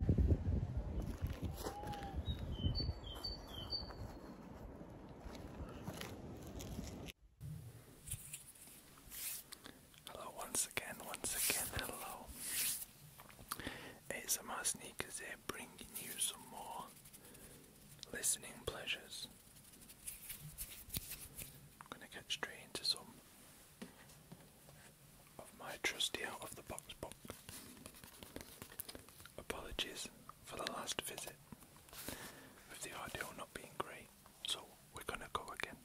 Hello, once again, once again, hello. ASMR Sneakers here bringing you some more listening pleasures. I'm going to get straight into some of my trusty out of the box box. Apologies for the last visit, with the audio not being great, so we're gonna go again.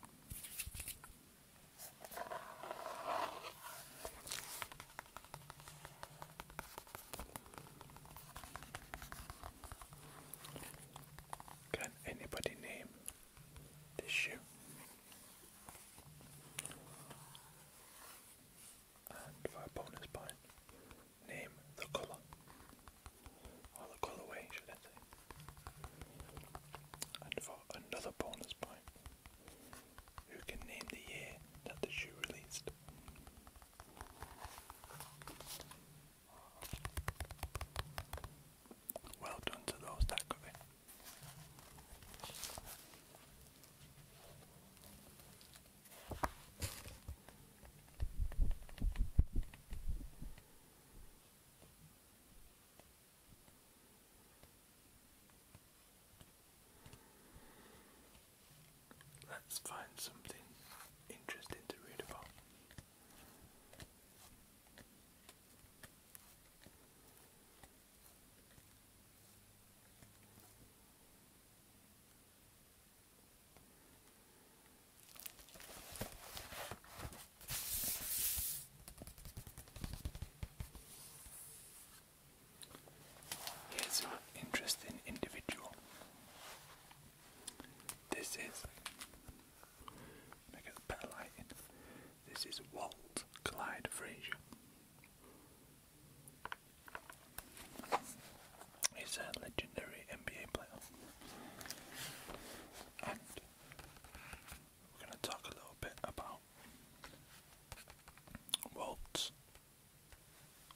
Can anybody name this shoe? for a bonus point, name the colour. Or the colourway, should I say. And for another bonus point, you can name the year that the shoe released. Well done to those that got Let's find something interesting to read about. Here's an interesting individual. This is Make it better lighting. This is Walt Clyde Frazier. He's a legendary NBA player. And we're going to talk a little bit about Walt's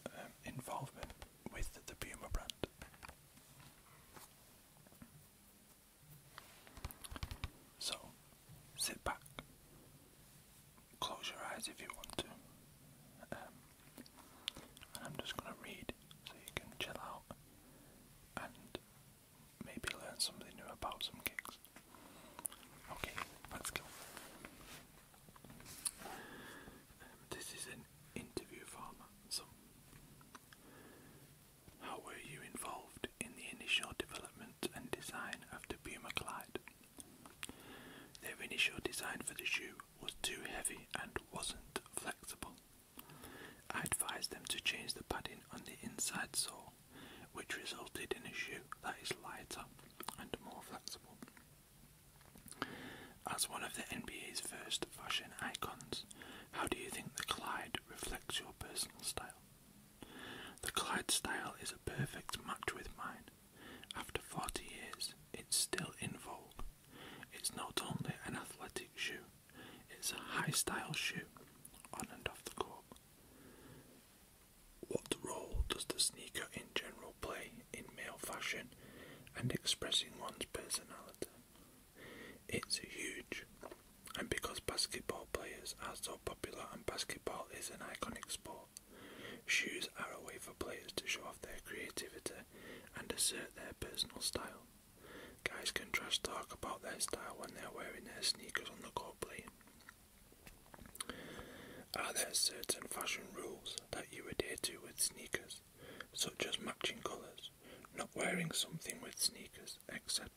um, involvement with the Puma brand. So, sit back, close your eyes if you want to, um, and I'm just going to read so you can chill out and maybe learn something new about some gigs. Okay, let's go. Um, this is an interview format, so how were you involved in the initial development and design of the Puma Clyde? Their initial design for the shoe was too heavy and wasn't flexible. I advised them to change the padding on the inside sole, which resulted in a shoe that is lighter and more flexible. As one of the NBA's first fashion icons, how do you think the Clyde reflects your personal style? The Clyde style is a perfect match with mine. After 40 years, it's still in vogue. It's not only an athletic shoe, it's a high style shoe on and off the court. What role does the sneaker in general play in male fashion and expressing one's personality? It's huge. And because basketball players are so popular and basketball is an iconic sport, shoes are a way for players to show off their creativity and assert their personal style. Guys can trash talk about their style when they're wearing their sneakers on the court playing. Are there certain fashion rules that you adhere to with sneakers, such as matching colours, not wearing something with sneakers? etc.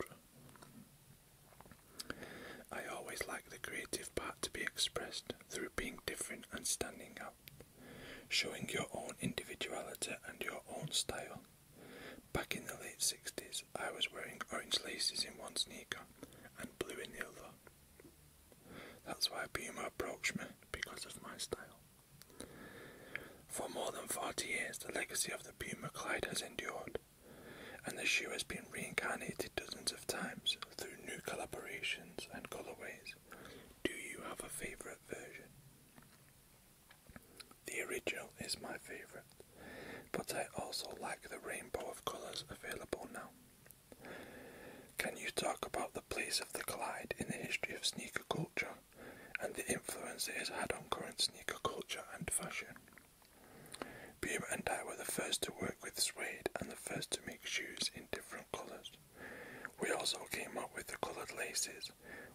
I always like the creative part to be expressed through being different and standing out, showing your own individuality and your own style. Back in the late 60s, I was wearing orange laces in one sneaker and blue in the other. That's why Puma approached me because of my style. For more than 40 years, the legacy of the Puma Clyde has endured, and the shoe has been reincarnated dozens of times through new collaborations and colorways. Do you have a favorite version? The original is my favorite, but I also like the rainbow of colors available now. Can you talk about the place of the Clyde in the history of sneaker culture? and the influence it has had on current sneaker culture and fashion. Puma and I were the first to work with suede and the first to make shoes in different colours. We also came up with the coloured laces.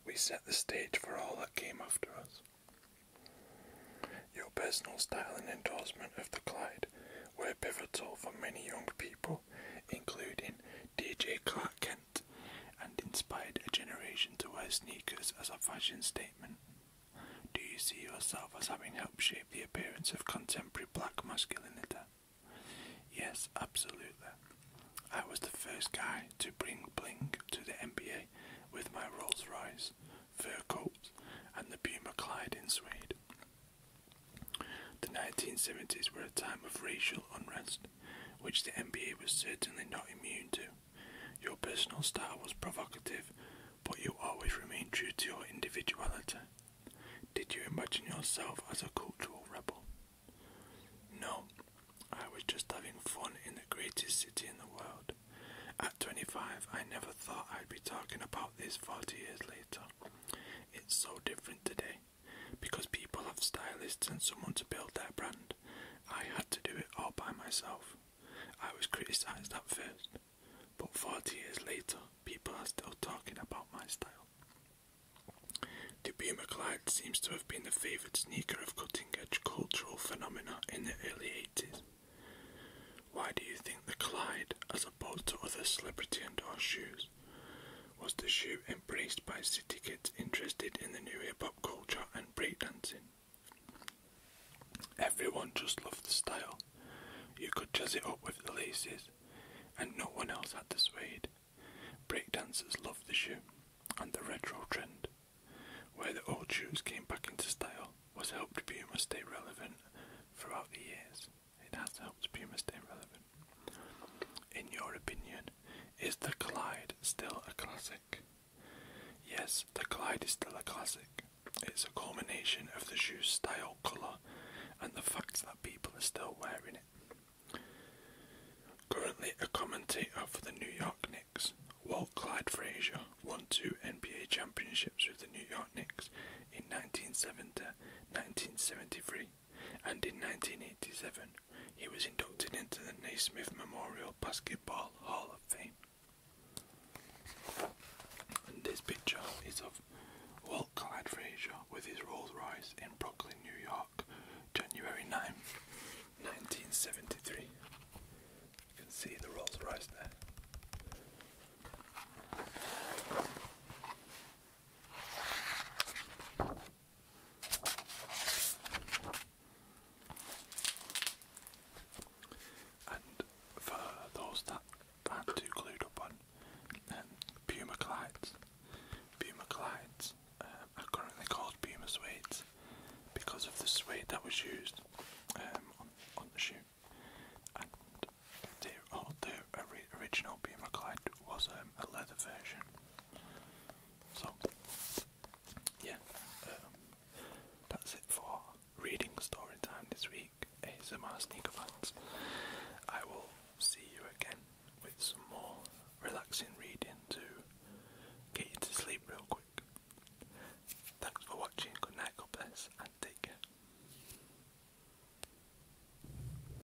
We set the stage for all that came after us. Your personal style and endorsement of the Clyde were pivotal for many young people, including DJ Clark and inspired a generation to wear sneakers as a fashion statement. Do you see yourself as having helped shape the appearance of contemporary black masculinity? Yes, absolutely. I was the first guy to bring bling to the NBA with my Rolls Royce, fur coat, and the Puma Clyde in suede. The 1970s were a time of racial unrest which the NBA was certainly not immune to. Your personal style was provocative, but you always remained true to your individuality. Did you imagine yourself as a cultural rebel? No, I was just having fun in the greatest city in the world. At 25, I never thought I'd be talking about this 40 years later. It's so different today because people have stylists and someone to build their brand. I had to do it all by myself. I was criticised at first, but 40 years later, people are still talking about my style. The Puma Clyde seems to have been the favoured sneaker of cutting edge cultural phenomena in the early 80s. Why do you think the Clyde, as opposed to other celebrity endorsed shoes, was the shoe embraced by city kids interested in the new hip hop culture and breakdancing. Everyone just loved the style. You could jazz it up with the laces, and no one else had the suede. Breakdancers loved the shoe and the retro trend. Where the old shoes came back into style was helped to Puma stay relevant throughout the years. It has helped Puma stay relevant. In your opinion, is the Clyde still a classic? Yes, the Clyde is still a classic. It's a culmination of the shoe's style, colour, and the fact that people are still wearing it. Currently a commentator for the New York Knicks, Walt Clyde Frazier won two NBA championships with the New York Knicks in 1970, 1973, and in 1987 he was inducted into the Naismith Memorial Basketball Hall of Fame. this picture is of Walt Clyde Frazier with his Rolls Royce in Brooklyn, New York, January 9, 1973. You can see the Rolls Royce there. And for those that are too clued up on um, Puma Collides, Puma Collides um, are currently called Puma Suedes because of the suede that was used um, on, on the shoe. And the, oh, original Puma Clyde was a leather version so, yeah, um, that's it for reading story this week. ASMR sneaker fans. I will see you again with some more relaxing reading to get you to sleep real quick. Thanks for watching. Good night, God bless, and take care.